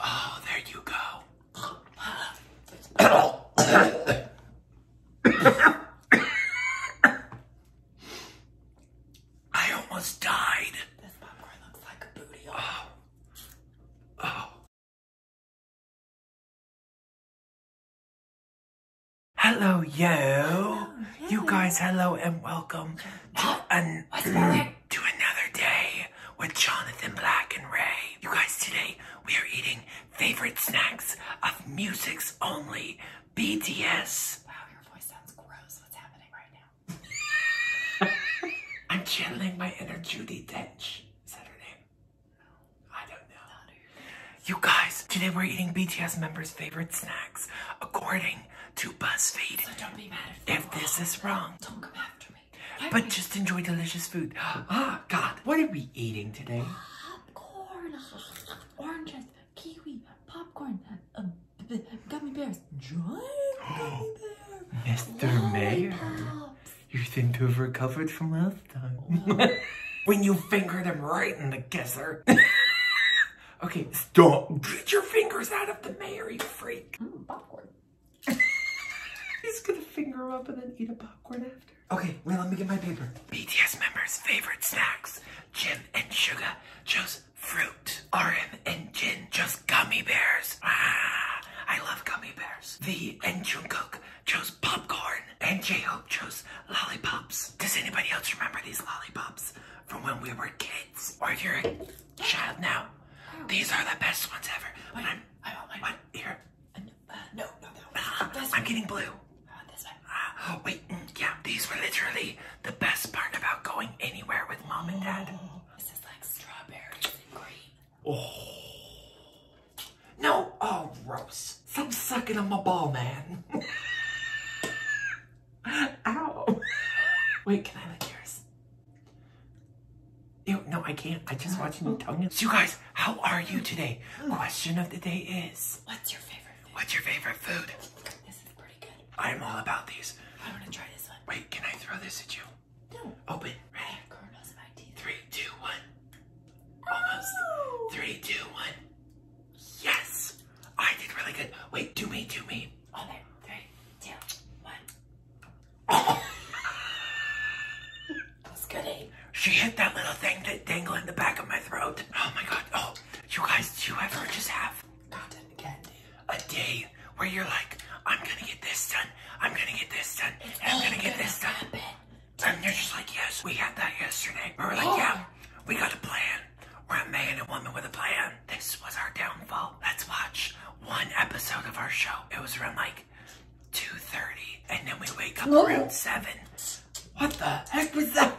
Oh, there you go. I almost died. This popcorn looks like a booty. Oh. oh. Hello, yo. Oh, you guys, hello and welcome to oh, an. What's to another day with Jonathan Black and Ray. You guys, today we are eating favorite snacks of music's only BTS. Wow, your voice sounds gross. What's happening right now? I'm channeling my inner Judy Dench. Is that her name? No. I don't know. You guys, today we're eating BTS members' favorite snacks according to BuzzFeed. So don't be mad if, this is wrong. Don't come after me but just enjoy delicious food. Ah, oh, God, what are we eating today? Popcorn, oranges, kiwi, popcorn, uh, uh, gummy bears, giant gummy bear. Mr. Mayor, you seem to have recovered from last time. when you fingered him right in the gizzard. okay, stop. Get your fingers out of the mayor, freak. Mm, popcorn. He's gonna finger up and then eat a popcorn after. Okay, wait, let me get my paper. BTS members' favorite snacks. Jim and Sugar chose fruit. RM and Jin chose gummy bears. Ah, I love gummy bears. V and Jungkook chose popcorn. And J-Hope chose lollipops. Does anybody else remember these lollipops? From when we were kids, or if you're a Child, now. Oh. These are the best ones ever. But oh, I'm, I want mine. What? Here. Uh, uh, no, no, ah, not that I'm getting blue. Uh, ah, wait, mm, yeah, these were literally the best part about going anywhere with mom and dad. Oh, this is like strawberries and green. Oh. No, oh, gross. Stop sucking on my ball, man. Ow. wait, can I lick yours? no, I can't. I just watched an Italian. So you guys, how are you today? Question of the day is... What's your favorite What's your favorite food? This is pretty good. I'm all about these. I want to try this one. Wait, can I throw this at you? No. Open. Ready? Three, two, one. Almost. Oh! Three, two, one. Yes! I did really good. Wait, do me, do me. Okay, three, two, one. Just She hit that little thing that dangle in the back of my throat. Oh my god. Oh, you guys, do you ever just have God, again, a day where you're like, I'm gonna get this done, I'm gonna get this done, and I'm gonna, get this done. And you're just like, yes, we had that yesterday. We are like, oh. yeah, we got a plan. We're a man and woman with a plan. This was our downfall let's watch one episode of our show. It was around like 2.30 and then we wake up around 7. What the heck was that?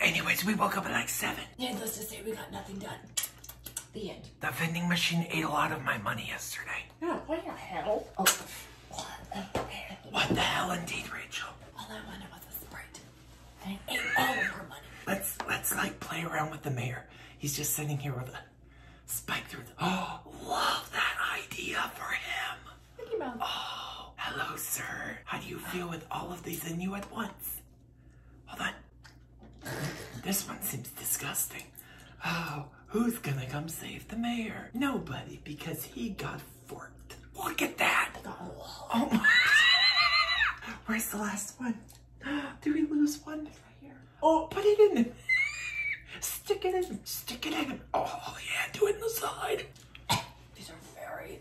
Anyways, we woke up at like 7. Needless to say, we got nothing done. The end. The vending machine ate a lot of my money yesterday. Yeah, what the hell? What the hell indeed, Rachel? All I wanted was a Sprite. Let's let's like play around with the mayor. He's just sitting here with a spike through. The, oh, love that idea for him. Oh, hello, sir. How do you feel with all of these in you at once? Hold on. This one seems disgusting. Oh, who's gonna come save the mayor? Nobody, because he got forked. Look at that. Oh Where's the last one? Did we lose one right here? Oh, put it in. stick it in. Stick it in. Oh, yeah. Do it in the side. These are very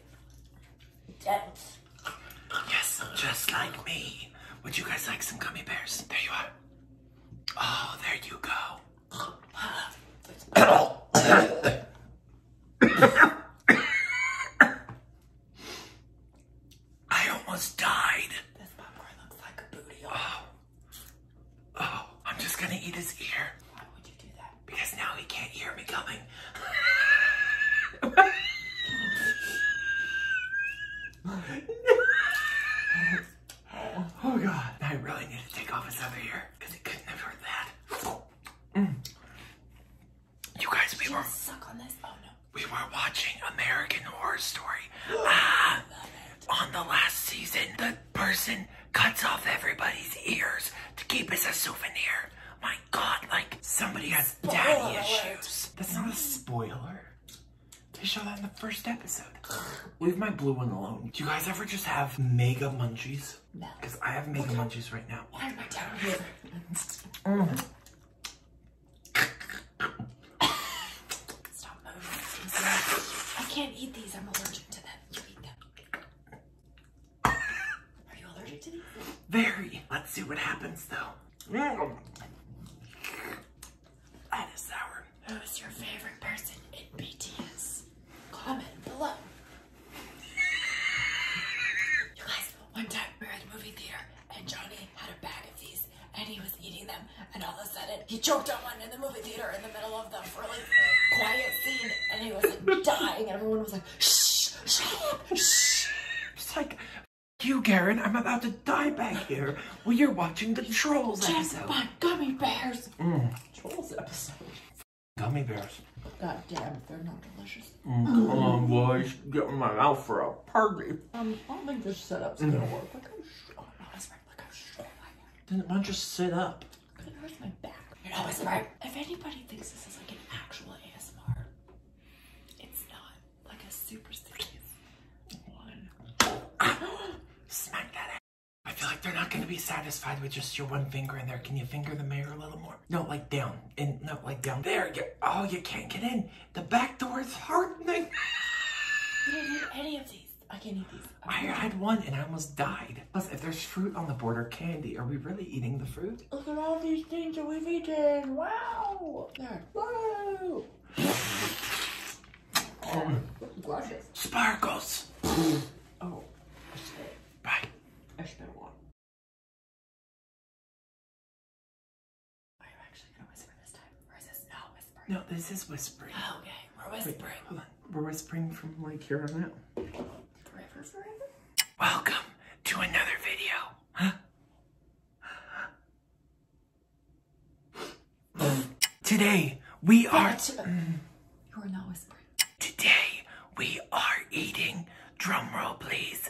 dense. Yes, just like me. Would you guys like some gummy bears? There you are. Oh, there you go. I almost died. This popcorn looks like a booty. Oh. Oh, I'm just gonna eat his ear. Why would you do that? Because now he can't hear me coming. oh god. I really need to take off his other ear because it couldn't have heard that. Mm. You guys, we were on this. Oh We were watching American Horror Story. ah, on the last season, the person cuts off everybody's ears to keep as a souvenir. My God, like somebody has daddy issues. That's not a spoiler. They show that in the first episode. Leave my blue one alone. Do you guys ever just have mega munchies? No. Because I have mega munchies right now. Why am I down here? Mm. Stop moving. I can't eat these. I'm allergic to them. You eat them. Are you allergic to these? Very. Let's see what happens though. Mm. That is sour. Who's your favorite person in BTS? Comment below. you guys one time we were at the movie theater and Johnny had a bag of these and he was eating them and all of a sudden he choked on one in the movie theater in the middle of the really quiet scene and he was like dying and everyone was like, shh, shut up, shh. It's like, you, Garen, I'm about to die back here while you're watching the Trolls Just episode. Just gummy bears. Mm. Trolls episode. Gummy bears. God damn, if they're not delicious. Mm, come mm. on, boys. Get in my mouth for a party. Um, I don't think this setup's mm. gonna work. Like how short. Oh, that's right. Look how I am. Then why don't you sit up? It hurts my back. You're always right. If anybody thinks this is like an actual ASMR, it's not. Like a superstitious serious one. Smack that ass. I feel like they're not gonna be satisfied with just your one finger in there. Can you finger the mayor a little more? No, like down. And no, like down. There. oh, you can't get in. The back door is hardening. you didn't eat any of these. I can't eat these. I had one and I almost died. Plus, if there's fruit on the border, candy, are we really eating the fruit? Look at all these things that we've eaten. Wow. There. Whoa. Um, sparkles. oh. I spit. Bye. I no, this is whispering. Oh, okay, we're whispering. Wait, We're whispering from like here on out. Welcome to another video. Today we are. Mm. You are not whispering. Today we are eating. Drum roll, please.